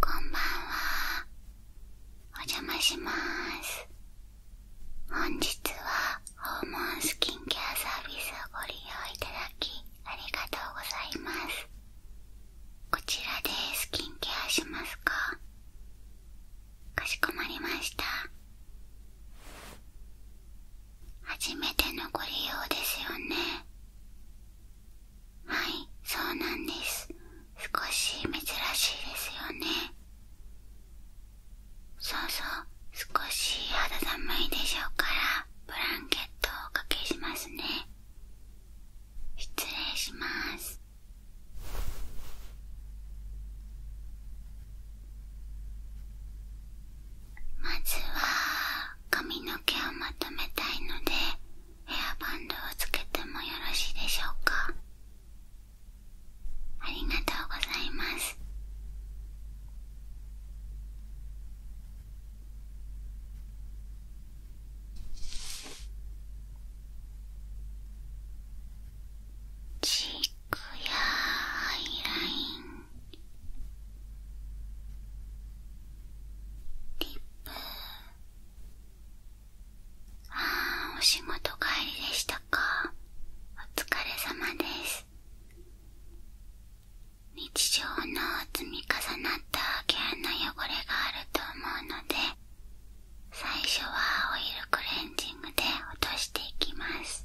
こんばんは。お邪魔します。本日は訪問スキンケアサービスをご利用いただきありがとうございます。こちらでスキンケアしますかかしこまりました。初めてのご利用ですよね。はいそうなんです少し珍しいですよねそうそう少し肌寒いでしょうからブランケットをおかけしますね失礼しますまずは髪の毛をまとめたいのでヘアバンドをつけてもよろしいでしょうかありがとうございますチークやアイラインリップああお仕事帰りでしたかお疲れ様です日常の積み重なった毛穴汚れがあると思うので最初はオイルクレンジングで落としていきます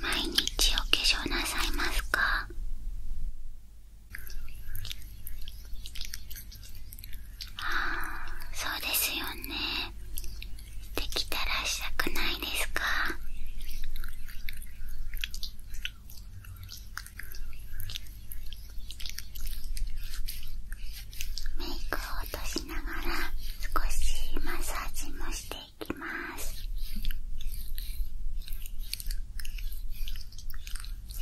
毎日お化粧なさいますかあーそうですよねできたらしたくないですかメイクを落としながら少しマッサージもしていきます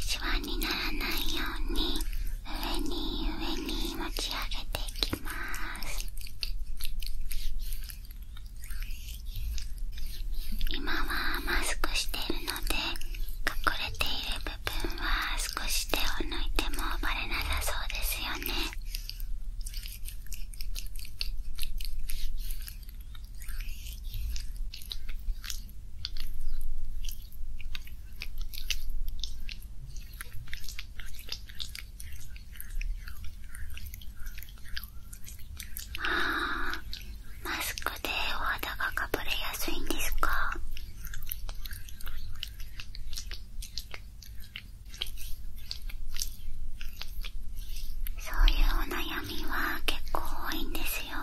シワにならないように上に上に持ち上げていきます今はマスクしているので隠れている部分は少し手を抜いてもバレなさそうですよねあーマスクでお肌がかぶれやすいんですかそういうお悩みは結構多いんですよ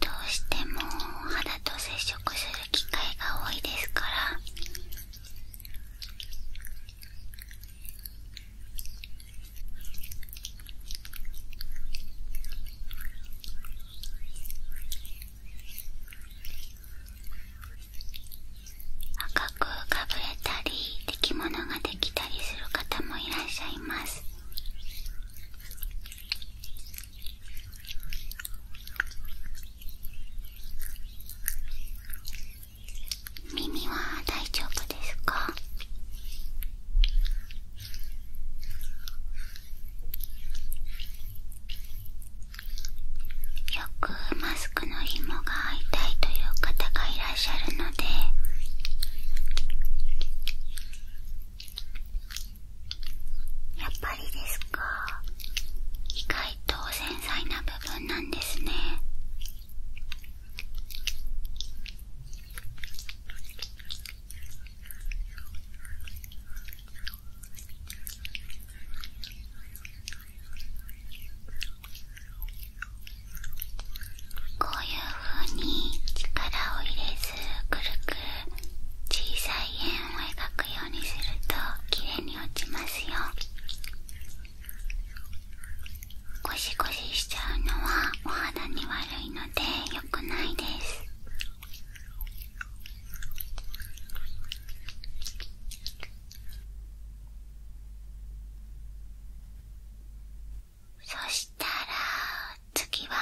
どうしてもお肌と接触する機会が多いですから赤くかぶれたりできものができたりする方もいらっしゃいます耳は大丈夫ですかよくマスクの紐が合いたいという方がいらっしゃるのでやっぱりですか意外と繊細な部分なんですねこういう風に力を入れずくるくる小さい円を描くようにするときれいに落ちますよゴシゴシしちゃうのはお肌に悪いので良くないですそしたら次は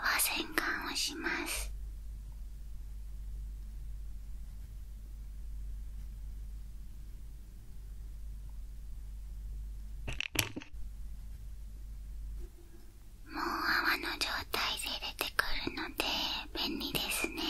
泡洗顔をしますもう泡の状態で出てくるので便利ですね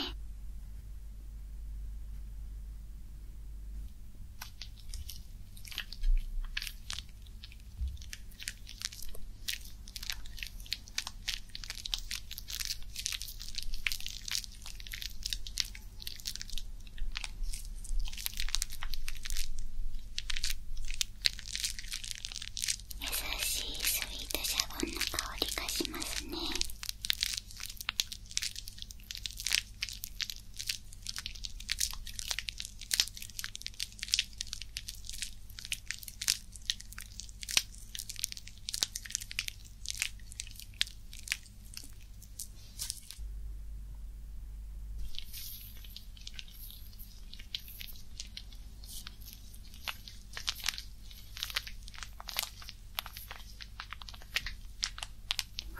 優しいスイートシャボンの香りがしますね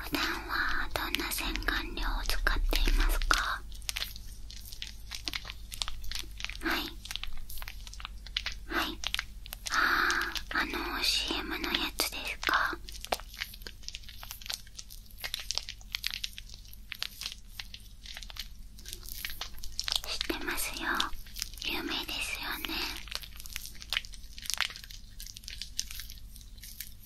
普段はどんな洗顔料を使っていますかはいはいあああの CM のやつですか知ってますよ有名ですよね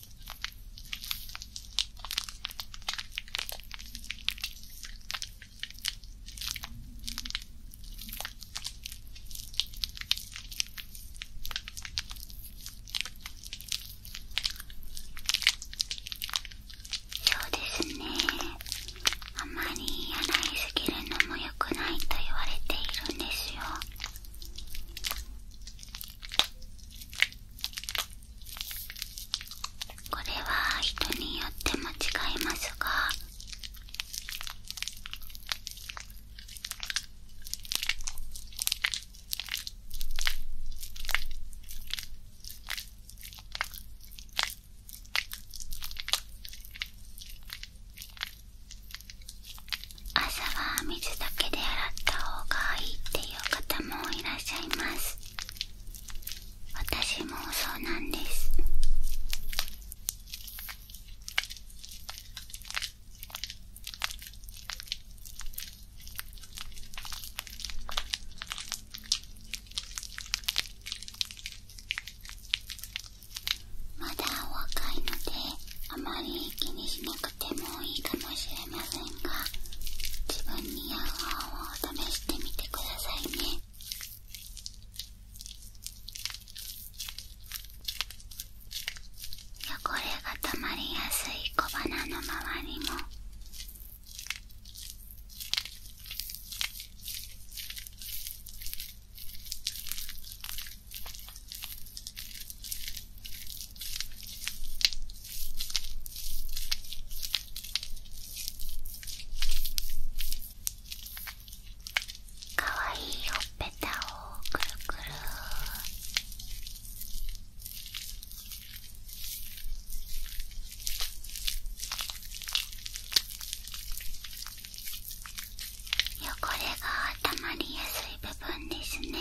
そうですねあまり洗いすぎるのもよくないと言われているんですよこれは人によっても違いますが朝は水だけで洗った方がいいっていう方もいらっしゃいます私もそうなんですまだお若いのであまり気にしなくてもいいかもしれない。れませんが自分に合う方を試してみてくださいね汚れがたまりやすい小鼻の周りもかわいいほっぺたをくるくる汚れがたまりやすい部分ですね。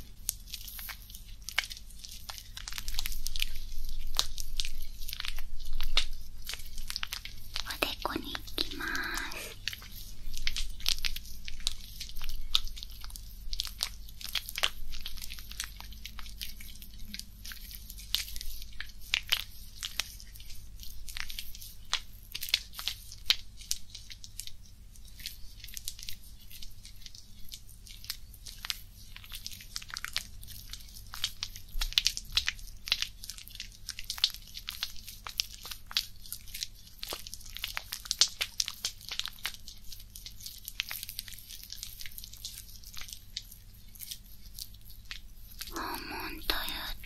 おでこに行きます訪問という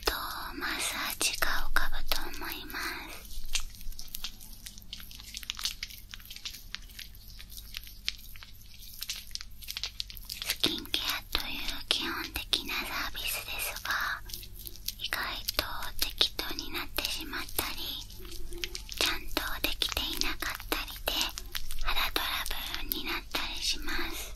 とマッサージが浮かぶと思いますスキンケアという基本的なサービスですが意外と適当になってしまったりちゃんとできていなかったりで肌トラブルになったりします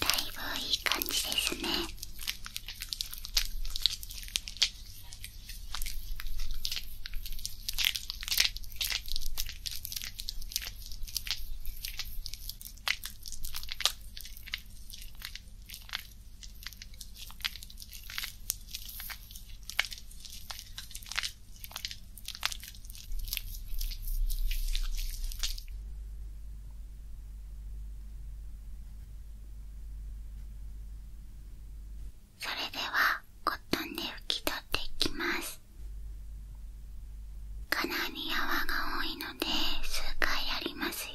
だいぶいい感じですねそれではコットンで拭き取っていきますかなり泡が多いので数回やりますよ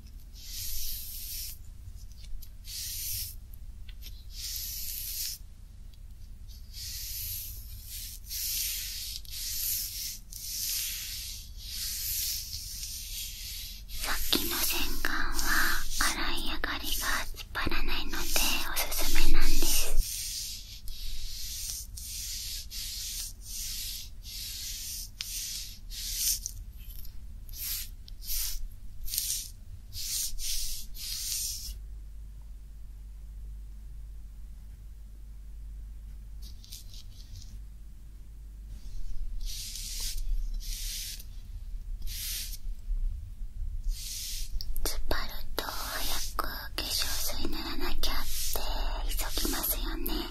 さっきの洗顔は洗い上がりがつっぱらないのでおすすめなんですつばると早く化粧水塗らなきゃって急ぎますよね。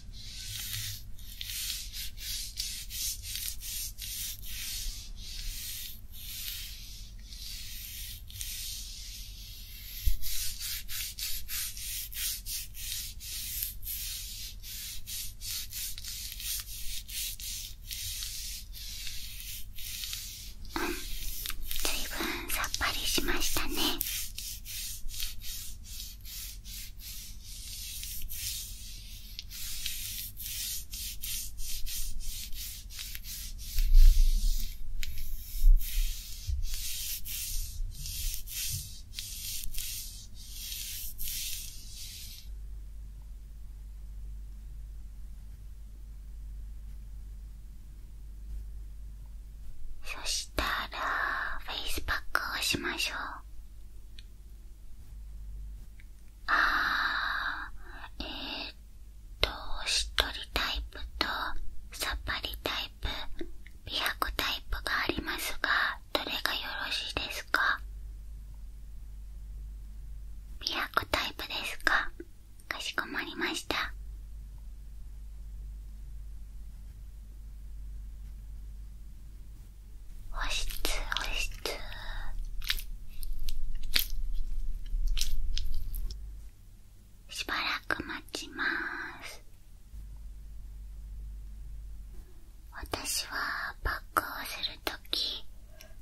ずいぶんさっぱりしましたねそしたらフェイスパックをしましょうあえっとしっとりタイプとさっぱりタイプ美白タイプがありますがどれがよろしいですか美白タイプですかかしこまりました保湿保湿しばらく待ちます私はパックをするとき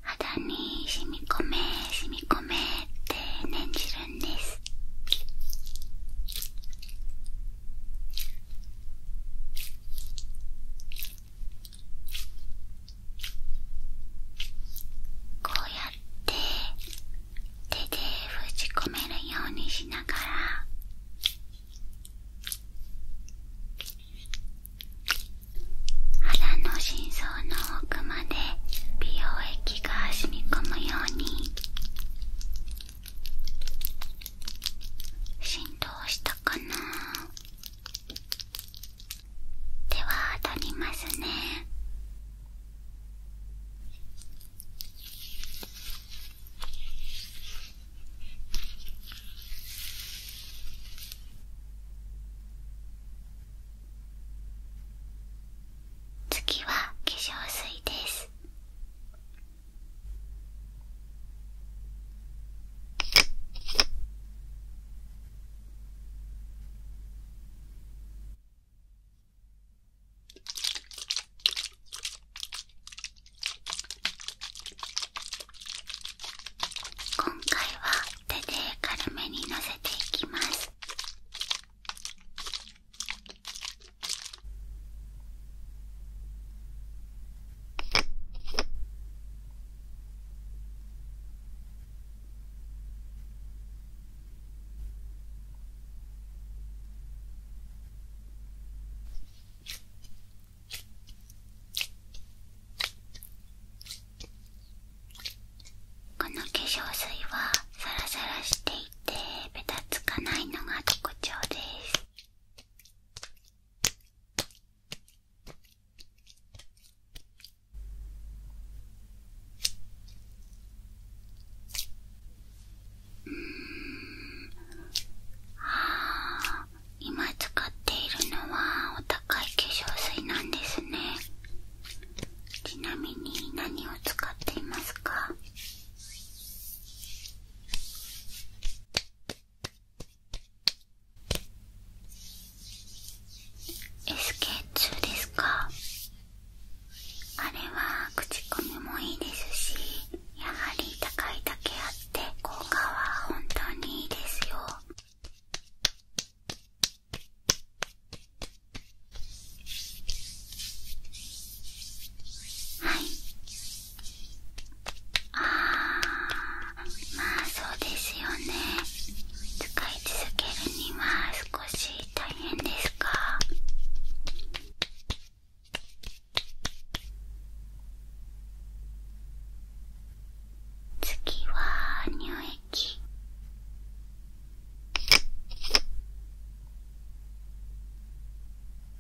肌に染み込め染み込めって念じるんですこうやって手で封じ込めるようにしながら腹の心臓の奥まで美容液が染み込むように。振動したかなでは当たりますね次は化粧水です今回は手で軽めにのせていきます。この化粧水はサラサラしている。ってべつかないのが特徴ですうんあ今使っているのはお高い化粧水なんですねちなみに何を使っていますか SK2 ですかあれは口コミもいいですしやはり高いだけあって効果は本当にいいですよはいああ、まあそうですよね使い続けるには少し大変ですか次は乳液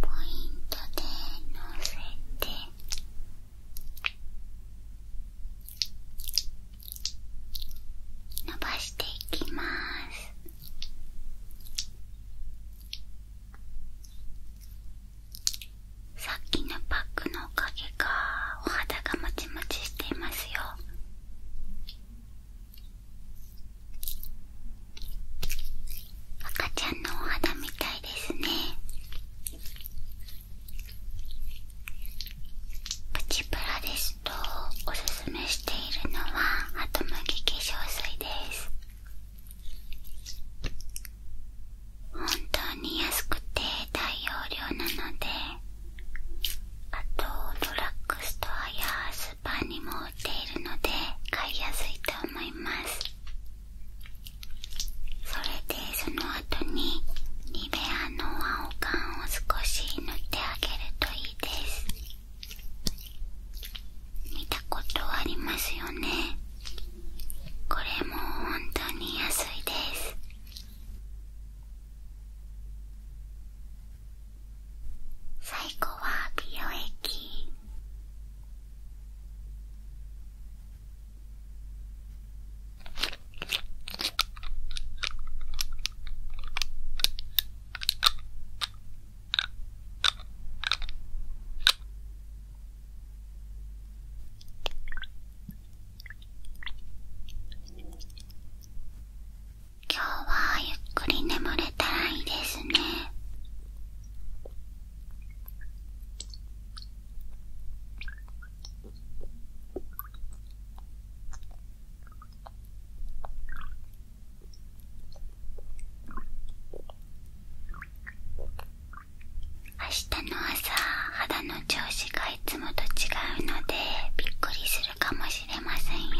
ポイントでのせて伸ばしていきますさっきのパックのおかげかお肌がもちもちしていますよ赤ちゃんのお肌みたいですねプチプラですとおすすめしているのはハトムギ化粧水です本当に安くて大容量なのであとドラッグストアやスーパーにも売っているので買いやすいと思いますそれでその後にニベアの青缶を少し塗ってあげるといいです見たことありますよねこれも本当に安いです最後は美容液今日はゆっくり眠れたらいいですね明日の朝肌の調子がいつもと違うのでびっくりするかもしれませんよ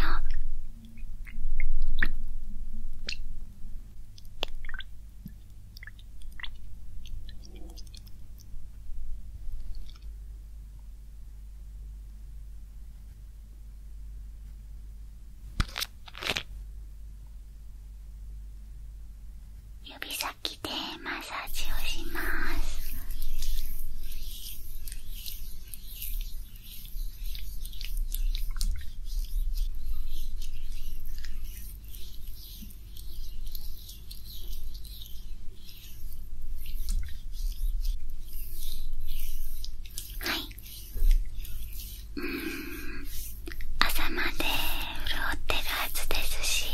指先でマッサージをしますはいうん朝まで潤ってるはずですし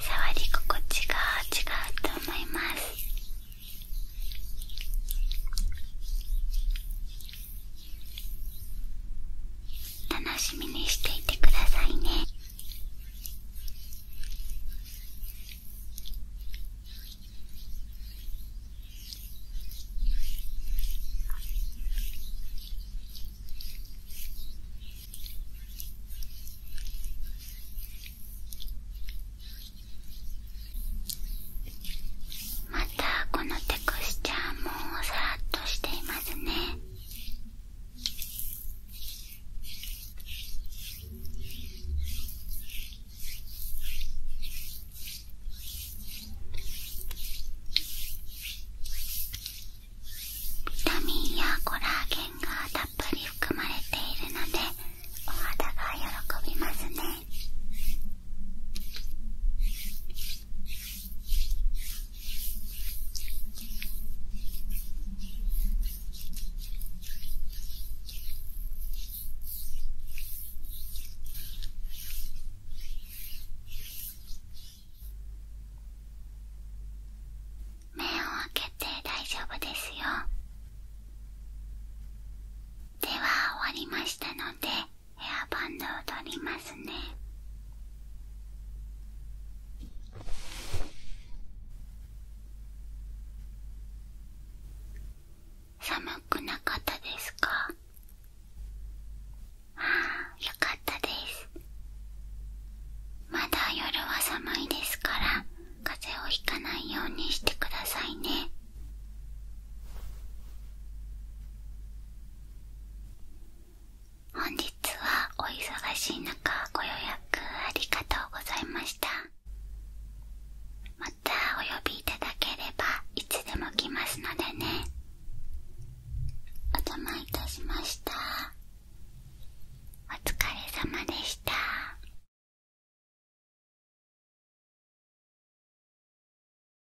触り心地が違うと思います楽しみにしていてくださいねまたこのテクスチャーもさらっとしていますねビタミンやコラーゲンがたっぷり含まれているのでお肌が喜びますね目を開けて大丈夫ですよでは終わりましたのでヘアバンドを取りますね寒くなかったですかああよかったですまだ夜は寒いですから風邪をひかないようにしてくださいね本日はお忙しい中ご予約ありがとうございましたまたお呼びいただければいつでも来ますのでねお邪魔いたしましたお疲れ様でした